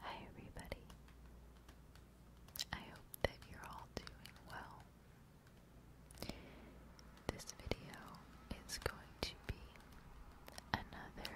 Hi, everybody. I hope that you're all doing well. This video is going to be another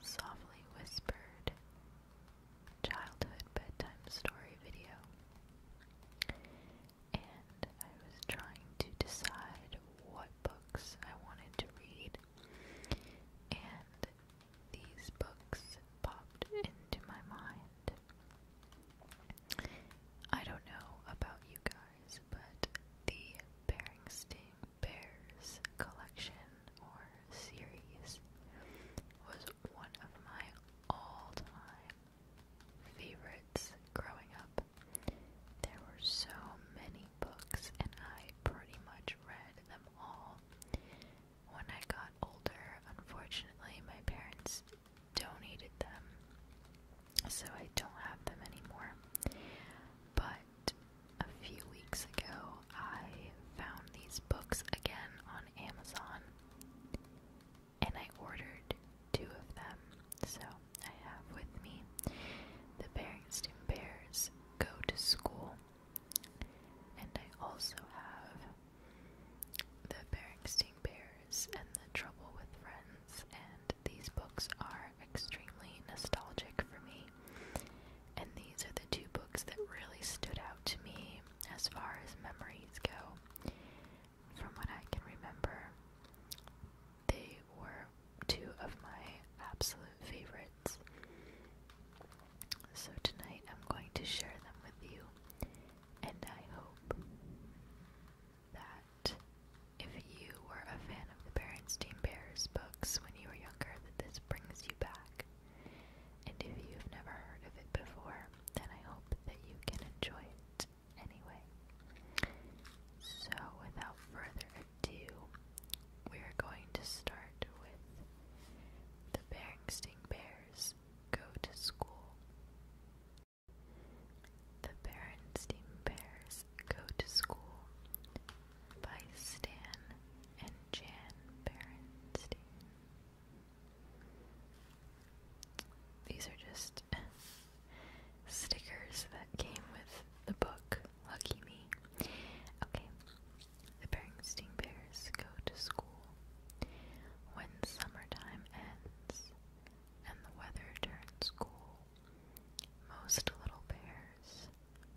softly whispered childhood bedtime story video and I was trying to decide what books I wanted to read, and these books popped into my mind. I don't know about you guys, but the Beringstein Bears collection or series was one of my all time favorites growing up. There were so many books, and I pretty much read them all. When I got older, unfortunately, my parents donated them, so I don't have them anymore. But a few weeks ago, I found these books again on Amazon and I ordered two of them. So I have with me the Barrington Bears Go to School, and I also have the Barrington Bears and the Trouble with Friends, and these books are extremely nostalgic for me. And these are the two books that really stood out to me as far as memories go from what I can remember, they were two of my absolute favorites. So tonight I'm going to share them with you, and I hope that if you were a fan of the Berenstein Bears books when you were younger, that this brings you back. And if you've never heard of it before, then I hope that you can enjoy it anyway. So, without further ado, we are going to start with the Beringstein Bears Go to School. The Berenstein Bears Go to School by Stan and Jan Berenstein. These are just stickers that came with the book. Lucky me. Okay. The Beringstein Bears go to school. When summertime ends and the weather turns cool, most little bears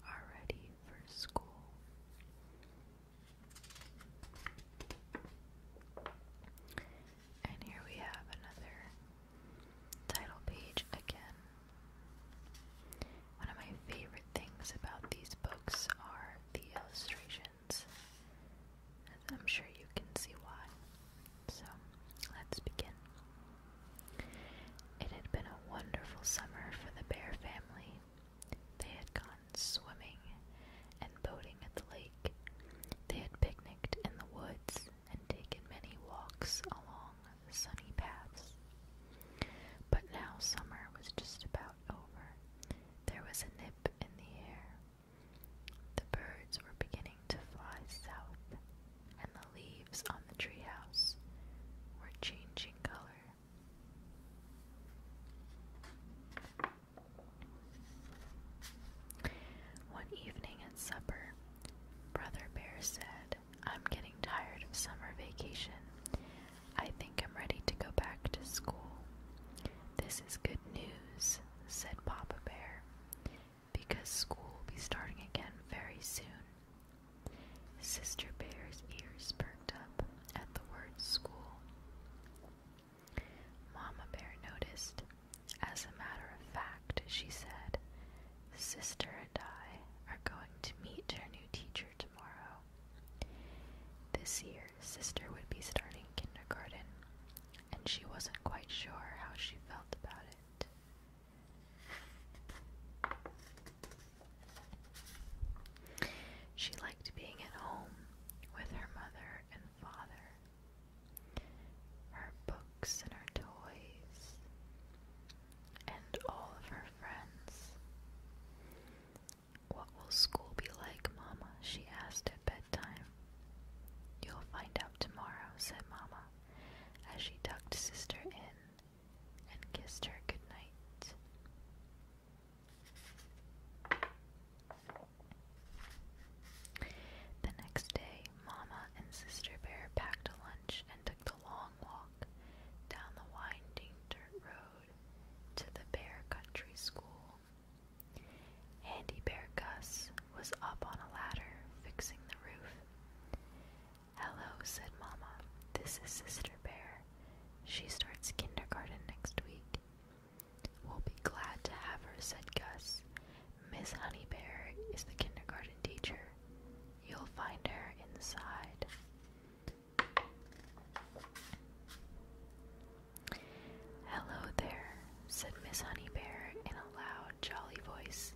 are ready for school. And here we have another title page again. One of my favorite things about these books are the illustrations. I'm sure you can see why. So, let's begin. It had been a wonderful summer for the Bear family. They had gone swimming and boating at the lake. They had picnicked in the woods and taken many walks along the sunny paths. But now summer was just about over. There was a nip in the air. The birds were beginning to fly south, and the leaves on the treehouse were changing color. One evening at supper, Brother Bear said, I'm getting tired of summer vacation. I think I'm ready to go back to school. This is good news, said Papa Bear, because school will be starting again very soon. Sister Bear's ears perked up at the word school. Mama Bear noticed. As a matter of fact, she said, Sister and I are going to meet her new teacher tomorrow. This year, Sister would be starting kindergarten, and she wasn't quite sure how she felt about it. She liked being at home with her mother and father, her books and her toys, and all of her friends. What will school be like, Mama? she asked at bedtime. You'll find out tomorrow, said Mama, as she tucked Sister in and kissed her good night. The next day, Mama and Sister Bear packed a lunch and took the long walk down the winding dirt road to the Bear Country School. Handy Bear Gus was up on a ladder fixing the roof. Hello, said Mama. This is Sister Bear. She starts kindergarten next week. We'll be glad to have her, said Gus. Miss Honeybear is the kindergarten teacher. You'll find her inside. Hello there, said Miss Honeybear in a loud, jolly voice.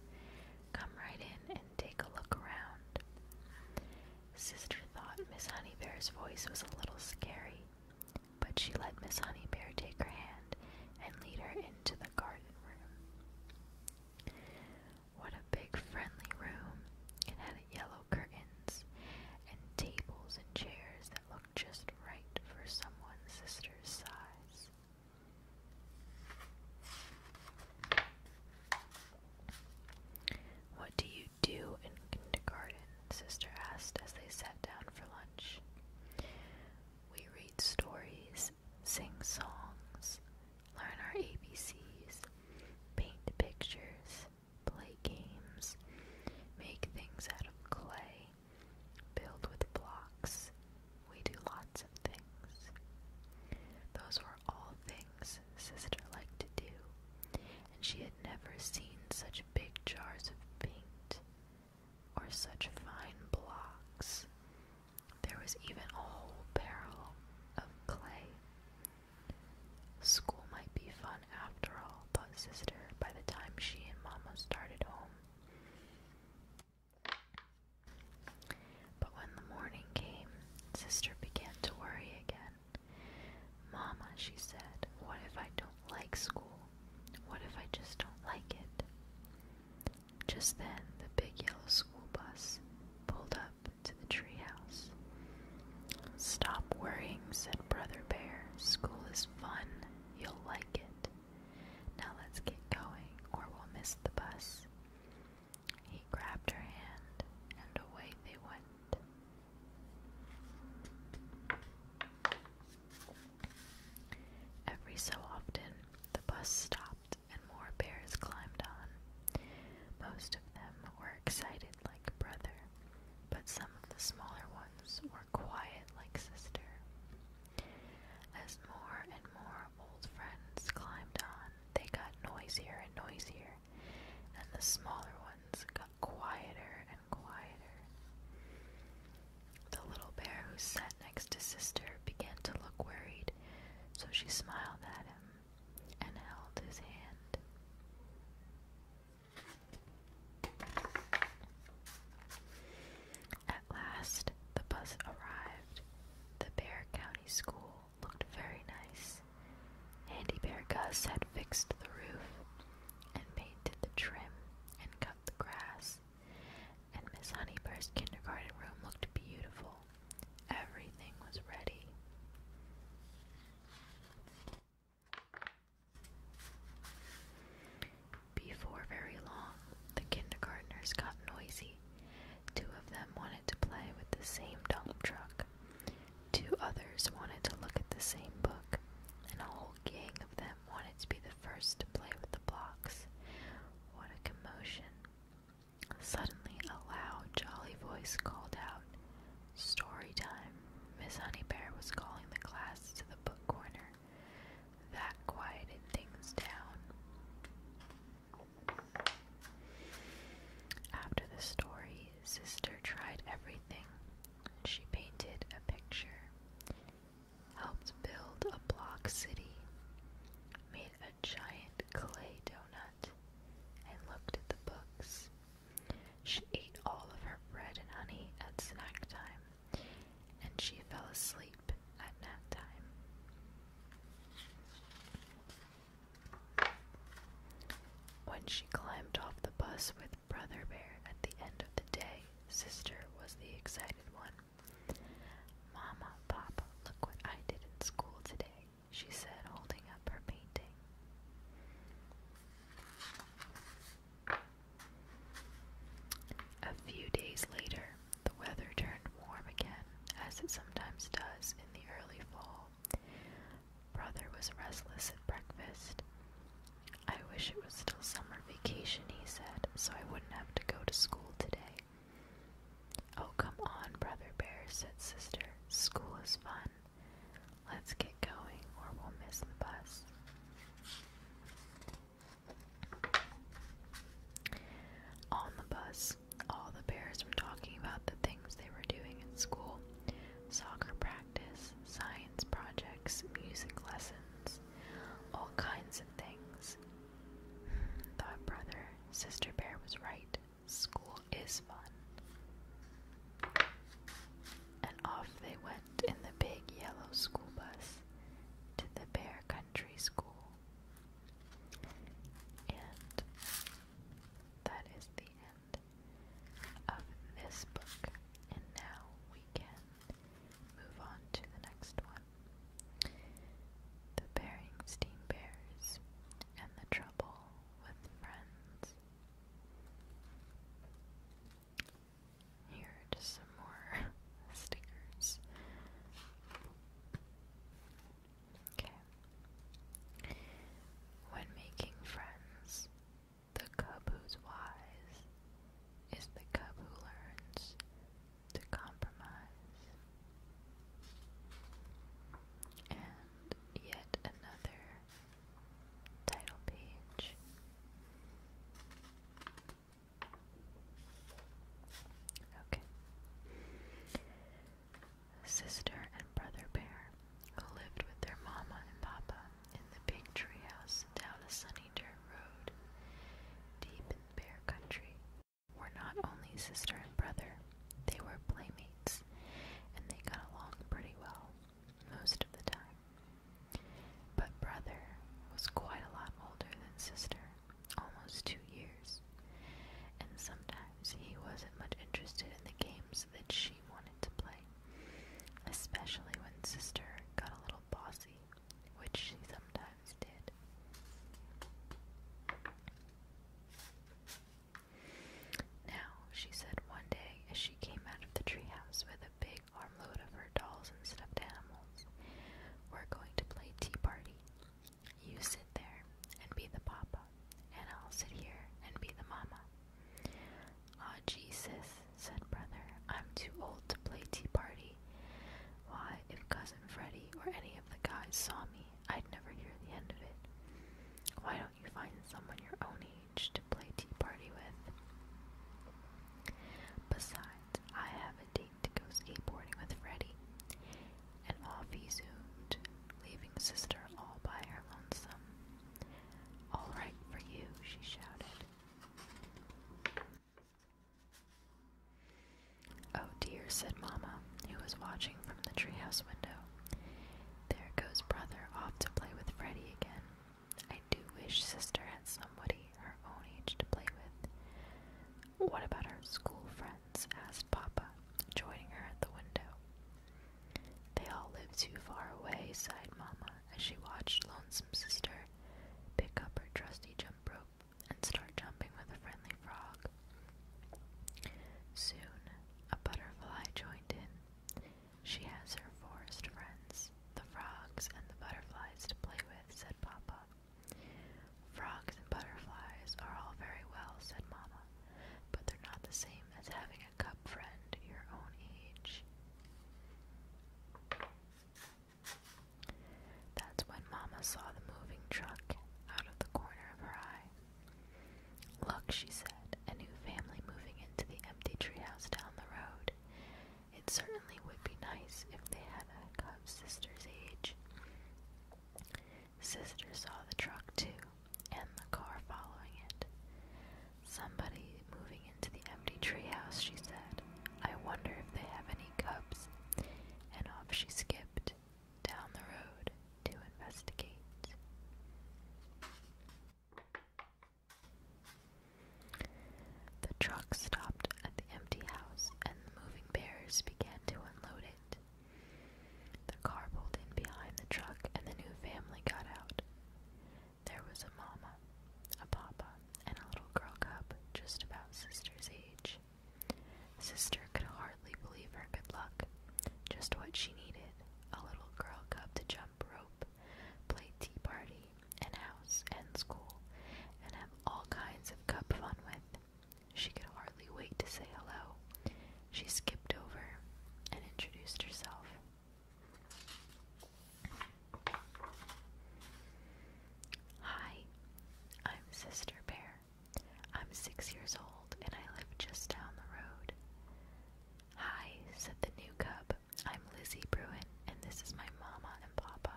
Come right in and take a look around. Sister thought Miss Honeybear's voice was a little scary, but she let Miss Honeybear take her hand and lead her into the garden room. What a big friendly room! It had yellow curtains and tables and chairs that looked just right for someone Sister's size. What do you do in kindergarten? Sister asked as they sat down for lunch. We read stories, sing songs, learn our ABCs, paint pictures, play games, make things out of clay, build with blocks. We do lots of things. Those were all things sister liked to do, and she had never seen such big jars of paint or such fine blocks. There was even a whole barrel of clay. School might be fun after all, thought Sister by the time she and Mama started home. But when the morning came, Sister began to worry again. Mama, she said, what if I don't like school? What if I just don't like it? Just then, the big yellow school bus pulled up to the treehouse. Stop worrying, said Brother Bear. School is fun. You'll like it. Now let's get going, or we'll miss the bus. He grabbed her hand, and away they went Every so often, the bus stopped and more bears climbed on. Most of them were excited like brother, but some of the smaller ones were quiet like sister. As more and more old friends climbed on, they got noisier and noisier, and the smaller ones got quieter and quieter. The little bear who sat next to Sister began to look worried, so she smiled at him and held his hand. At last, the bus arrived. The Bear County School looked very nice. Handy Bear Gus had fixed the roof and painted the trim and cut the grass, and Miss Honeybird's kindergarten room looked beautiful. Everything was ready. Before very long, the kindergartners got noisy. Two of them wanted to play with the same dump truck, Two others wanted to look at the same book, and a whole gang of them wanted to be the first to play with the blocks. What a commotion! Suddenly, a loud, jolly voice called out, Story time! Miss Honeybear was calling the class to the book corner. That quieted things down. After the story, sister tried everything. She painted a picture, helped build a block city, made a giant clay donut, and looked at the books. She ate all of her bread and honey at snack time, and she fell asleep at nap time. When she climbed off the bus with Brother Bear at the end of the day, Sister was the excited one. Mama, Papa, look what I did in school today, she said, holding up her painting. A few days later, the weather turned warm again, as it sometimes does in the early fall. Brother was restless at breakfast. I wish it was still summer vacation, he said, so I wouldn't have to go to school today. Oh, come on, Brother Bear, said Sister. School is fun. Let's get going, or we'll miss the bus. On the bus, all the bears were talking about the things they were doing in school soccer practice, science projects, music lessons, all kinds of things. Thought brother, Sister Bear was right. School is fun. And off they went in the big yellow school bus to the Bear Country School. And that is the end of this book, and now we can move on to the next one. The Beringstein Bears and the Trouble with Friends. Here are just some more stickers. Okay. When making friends, the cub who's wise is the cub who learns to compromise. And yet another title page. Okay sister and brother bear who lived with their mama and papa in the big tree house down a sunny dirt road deep in the bear country were not only sister and brother, they were playmates and they got along pretty well most of the time. But brother was quite a lot older than sister, almost two years games, and sometimes he wasn't much interested in the games that she wanted to play, especially when Sister got a little bossy, which she sometimes did. Now, she said one day as she came out of the treehouse with a big armload of her dolls and stuffed animals, we're going to play tea party. You sit there and be the papa, and I'll sit here and be the mama. Ah, Jesus, said brother, I'm too old to play tea party. Why, if cousin Freddie or any of the guys saw me, I'd never hear the end of it. Why don't you find someone your own age to play tea party with? Besides, I have a date to go skateboarding with Freddie and off he zoomed, leaving Sister all by her lonesome. All right for you, she shouted. Oh dear, said Mamma, who was watching from the treehouse window. There goes Brother off to play with Freddie again. I do wish Sister had somebody her own age to play with. What about her school friends? asked Papa, joining her at the window. They all live too far away, sighed Mamma as she watched Lonesome Sister pick up her trusty jump rope and start jumping with a friendly frog. Soon, a butterfly joined in. She has her forest friends, the frogs and the butterflies to play with, said Papa. Frogs and butterflies are all very well, said Mamma, but they're not the same as having a cub friend your own age. That's when Mamma saw the moving truck out of the corner of her eye. Look, she said, a new family moving into the empty treehouse down the road. It certainly would be nice if they had a cub sister's age. Sister saw the truck too, and the car following it. Somebody moving into the empty tree house. she said. I wonder if they have any cubs. And off she skipped down the road to investigate. The truck stopped at the empty house, and the moving bears began to unload it. The car pulled in behind the truck and the new family got out. There was a mama, a papa, and a little girl cub just about sister's age. Sister could hardly believe her good luck. Just what she needed a little girl cub to jump rope, play tea party, and house, and school, and have all kinds of cub fun with. She could hardly wait to say hello. She skipped over and introduced herself. Hi, I'm Sister Bear. I'm six years old and I live just down the road. Hi, said the new cub. I'm Lizzie Bruin, and this is my mama and papa,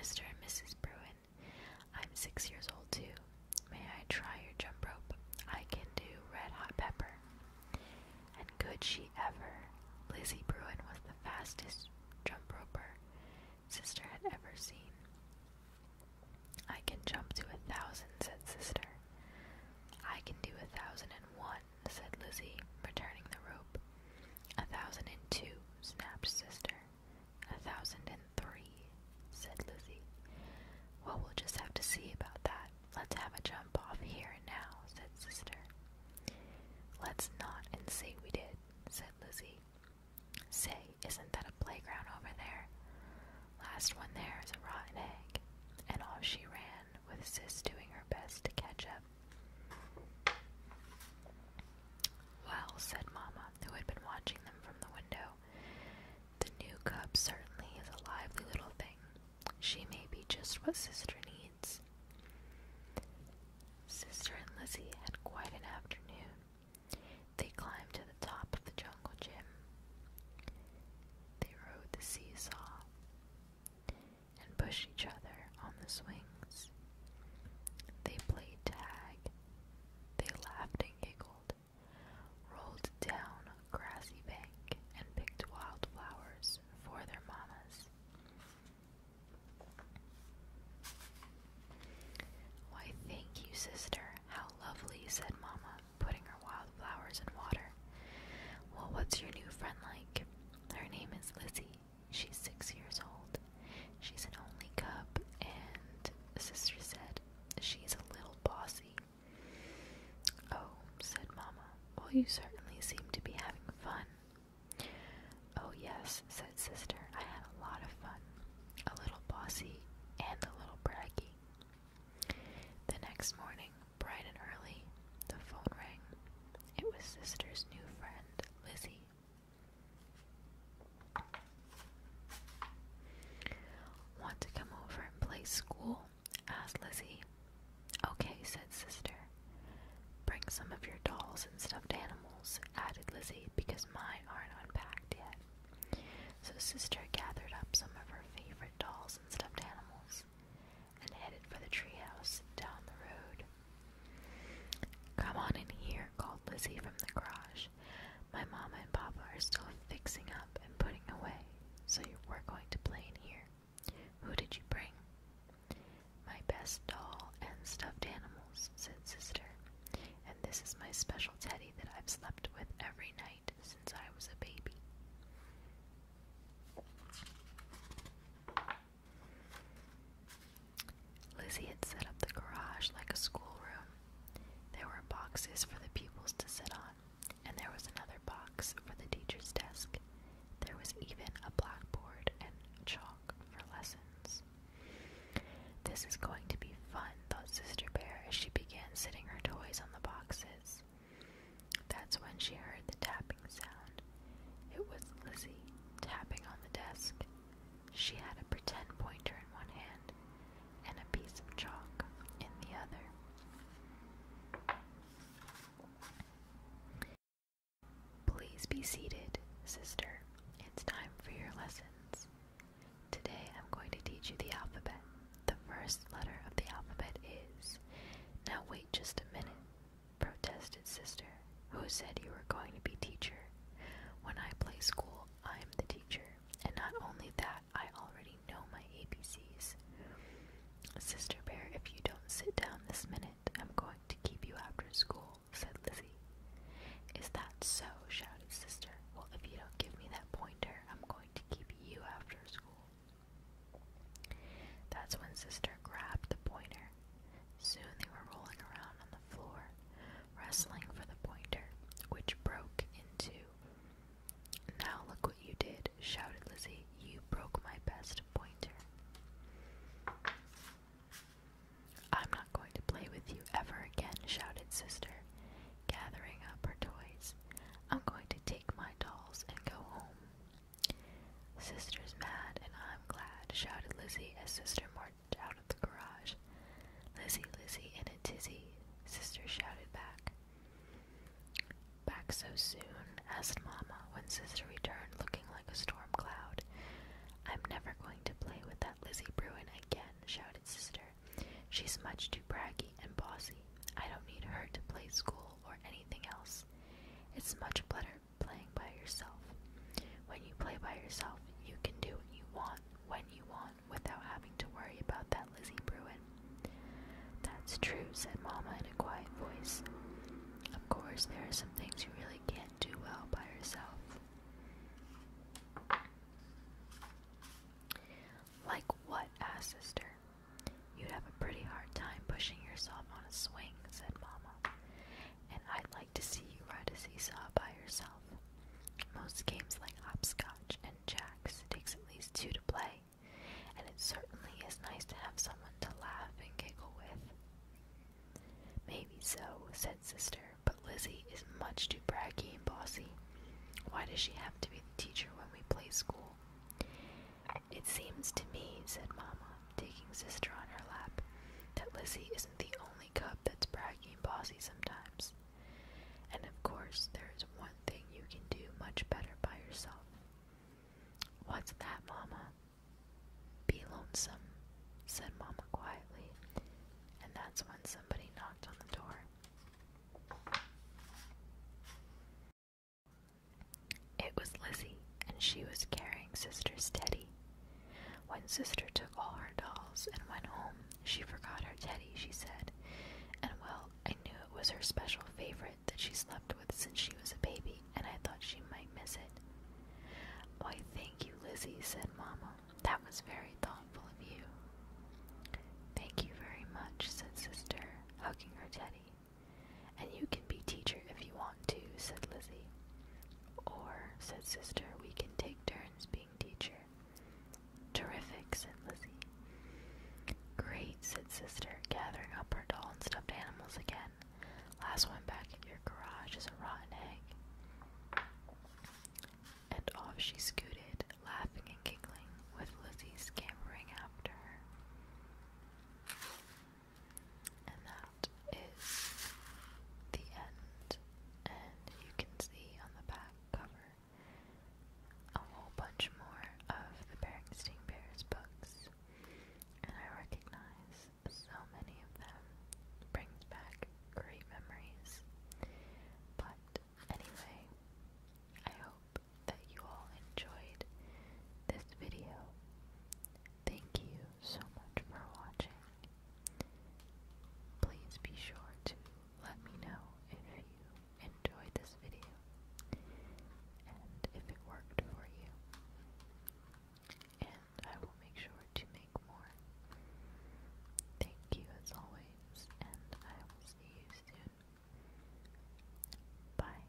Mr. and Mrs. Bruin. I'm six years old too. May I try your jump rope? I can do red hot pepper. And could she ever? Lizzie Bruin was the fastest jump roper sister had ever seen. I can jump to a thousand, said sister. I can do a thousand and one, said Lizzie, returning the rope. A thousand and two, snapped sister. A three," said Lizzie. Well, we'll just have to see about that. Let's have a jump off here and now, said Sister. Let's not and say we did, said Lizzie. Say, isn't that a playground over there? Last one there is a rotten egg. And off she ran, with Sis doing her best to catch up. Well, said Mamma, who had been watching them from the window, the new cub certainly is a lively little thing. She may be just what Sister needs. Sister and Lizzie had quite an afternoon. They climbed to the top of the jungle gym. They rode the seesaw and pushed each other on the swings. They played tag they laughed and giggled, rolled down a grassy bank, and picked wildflowers for their mamas. Why, thank you, sister. How lovely, said Mama, putting her wildflowers in water. Well, what's your new friend like? Her name is Lizzie. She's six years old. She's an only cub, and Sister said she's a little bossy. Oh, said Mama. well, you certainly seem to be having fun. Oh, yes, said Sister, I had a lot of fun. A little bossy and a little braggy. The next morning, bright and early, the phone rang. It was Sister's new friend, Lizzie. Want to come over and play school? asked Lizzie. Okay, said Sister. Bring some of your dolls and stuffed animals, added Lizzie, because mine aren't unpacked yet. So Sister gathered up some of her favorite dolls and stuffed animals and headed for the treehouse down the road. Come on in here, called Lizzie from the garage. My mama and papa are still fixing up and putting away, so we're going to play in here. Who did you bring? My best doll and stuffed animals, said Sister. And this is my special teddy that I've slept with every night since I was a baby. Lizzie had set up the garage like a schoolroom. There were boxes for the pupils to sit on, and there was another box for the teacher's desk. There was even a blackboard and chalk for lessons. This is going to be fun, thought Sister Bear as she began sitting her toys on the boxes. That's when she heard the tapping sound. It was Lizzie tapping on the desk. She had a pretend pointer in one hand and a piece of chalk in the other. Please be seated, sister. It's time for your lessons. Today I'm going to teach you the alphabet. The first letter of the alphabet is. Now wait just a minute, protested Sister. Who said you were going to be teacher? When I play school, I'm the teacher. And not only that, I already know my ABCs. Sister Bear, if you don't sit down this minute, I'm going to keep you after school, said Lizzie. Is that so? shouted Sister. Well, if you don't give me that pointer, I'm going to keep you after school. That's when Sister grabbed the pointer Soon they were rolling around on the floor, wrestling for the pointer, which broke in two. Now look what you did, shouted Lizzie. You broke my best pointer. I'm not going to play with you ever again, shouted Sister, gathering up her toys. I'm going to take my dolls and go home. Sister's mad and I'm glad, shouted Lizzie as Sister more out of the garage. Lizzie, Lizzie, and a tizzy, sister shouted back. Back so soon? asked Mamma when sister returned looking like a storm cloud. I'm never going to play with that Lizzie Bruin again, shouted sister. She's much too braggy and bossy. I don't need her to play school or anything else. It's much better playing by yourself. When you play by yourself, you can do what you want when you want without having to worry about that Lizzie Bruin. That's true, said Mama in a quiet voice. Of course, there are some things you really can't do well by yourself. Like what? asked Sister. You'd have a pretty hard time pushing yourself on a swing, said Mama. And I'd like to see you ride a seesaw by yourself. Most games like hopscotch and jacks takes at least two to play, and it certainly is nice to have someone to laugh and giggle with. Maybe so, said Sister, but Lizzie is much too braggy and bossy. Why does she have to be the teacher when we play school? It seems to me, said mamma taking Sister on her lap, that Lizzie isn't the only cub that's braggy and bossy sometimes. And of course, there is one thing you can do much better by yourself. What's that, Mama? Be lonesome, said Mama quietly, and that's when somebody knocked on the door. It was Lizzie, and she was carrying Sister's teddy. When sister took all her dolls and went home, she forgot her teddy, she said. And well, I knew it was her special favorite that she slept with since she was a baby, and I thought she might miss it. Why, thank you, Lizzie, said Mamma. That was very thoughtful of you. Thank you very much, said sister, hugging her teddy. And you can be teacher if you want to, said Lizzie. Or, said Sister, we can take turns being teacher. Terrific, said Lizzie. Great, said Sister, gathering up her doll and stuffed animals again. Last one back at your garage is a rotten egg. And off she scooted, laughing and giggling, with Lizzie scampering after her. And that is the end. And you can see on the back cover a whole bunch more of the Berenstain Bears books. And I recognize so many of them. brings back great memories. But anyway, I hope that you all enjoyed this video. Thank you so much for watching. Please be sure to let me know if you enjoyed this video and if it worked for you. And I will make sure to make more. Thank you as always, and I will see you soon. Bye.